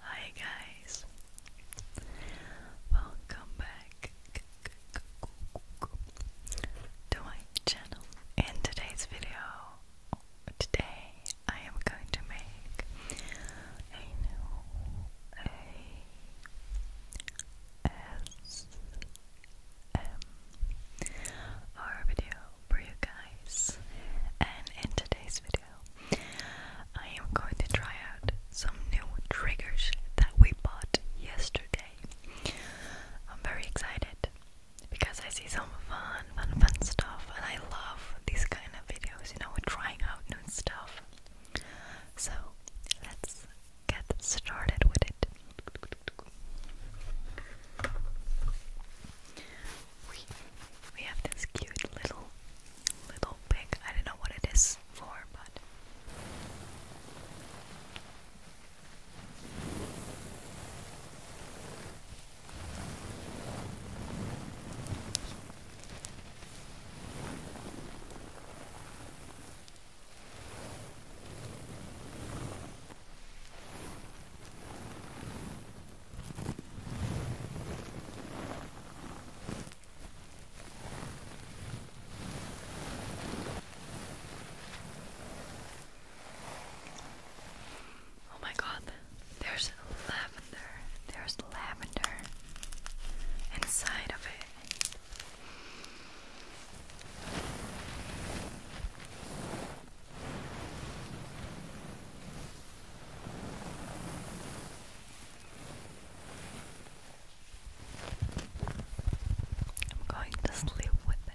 Hi guys, welcome back to my channel. In today's video, today I am going to make a ASMR video for you guys. And in today's video, I am going to try out some new triggers that we bought yesterday. I'm very excited because I see some fun, fun, fun stuff, and I love these kind of videos, you know, trying out new stuff. So let's get started with it we we have this cute little little pig. I don't know what it is for, but Oh my god, there's lavender. There's lavender inside of it. I'm going to sleep with it.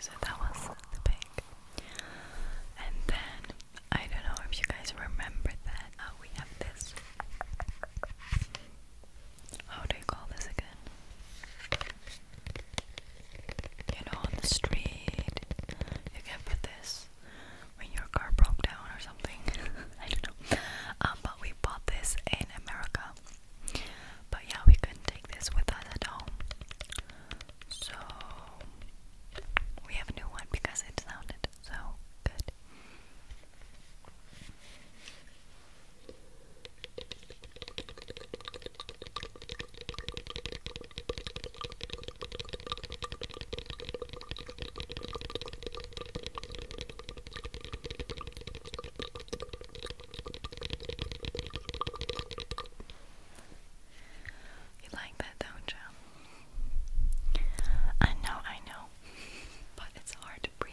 So that was the pig. And then I don't know if you guys remember that uh, we have this. How do you call this again? You know, on the street, you can put this when your car broke down or something. I don't know. Um, but we bought this in America. But yeah, we couldn't take this with us at home. So we have a new one because it sounded so good. You like that, don't you? I know, I know, but it's hard to breathe.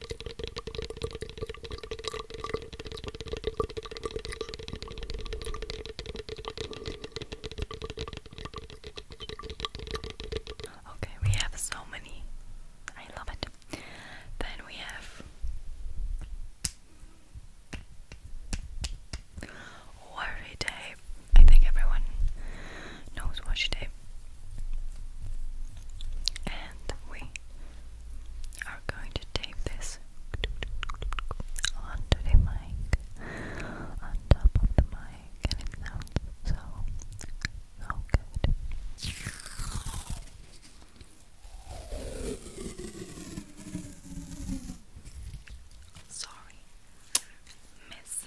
Okay, we have so many. I love it. Then we have washi tape. I think everyone knows washi tape and we are going to tape this onto the mic, on top of the mic, and it sounds so, so good. Sorry, miss.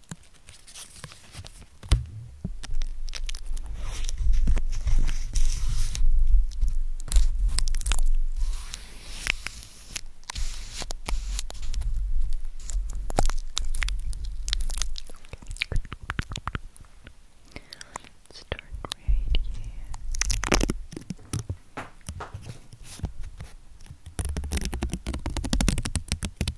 Start right here.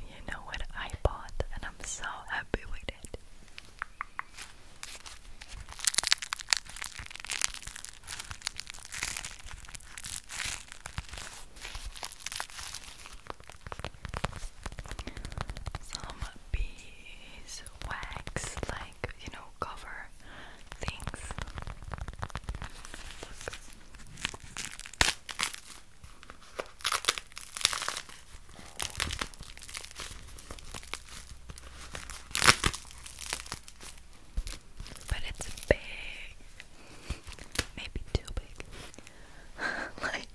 You know what I bought, and I'm so happy with it. Some beeswax, like you know, cover things. But it's big. Maybe too big. like,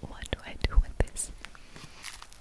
what do I do with this?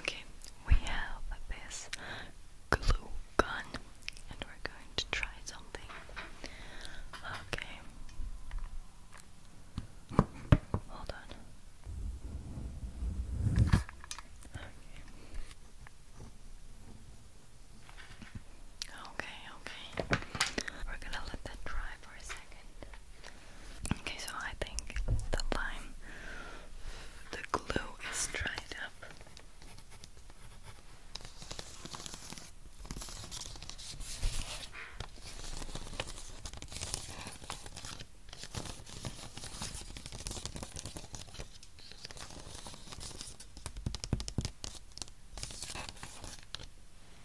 Okay, we have this glue gun and we're going to try something. Okay. Hold on. Okay. Okay, We're gonna let that dry for a second. Okay, so I think the line, the glue is dried up.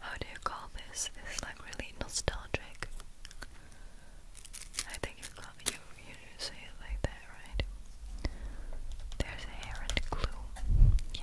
How do you call this? This is like really nostalgic. I think you you you say it like that, right? There's a hair and Yeah.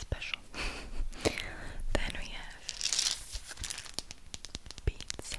Special. then we have pizza.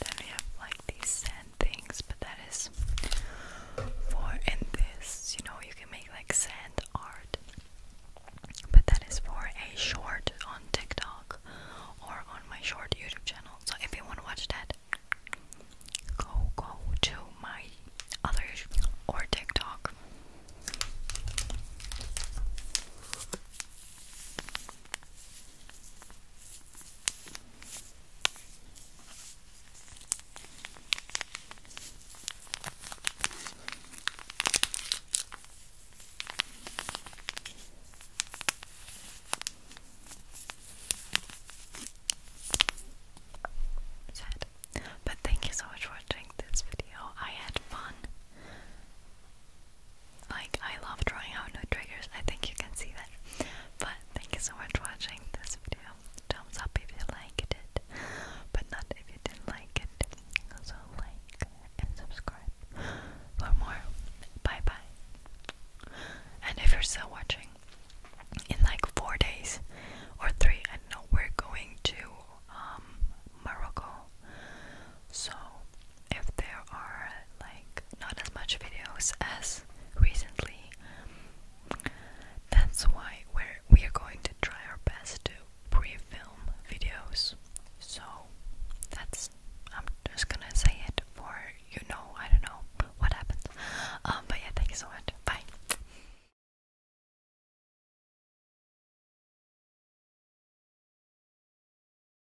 Then we have like these sand things, but that is for this, you know, you can make like sand art. But that is for a short on TikTok or on my short YouTube channel. So if you want to watch that, go go to my other or TikTok. But thank you so much for watching this video. I had fun. Like, I love drawing out new triggers. I think you can see that. But thank you so much for watching this video. Thumbs up if you liked it, but not if you didn't like it. Also, like and subscribe for more. Bye bye. And if you're still watching, in like four days or three, I know, we're going to um, Morocco. So if there are like not as much videos as recently. That's why we're we are going to try our best to pre-film videos. So that's I'm just gonna say it for you know I don't know what happens. Um, but yeah, thank you so much. Bye.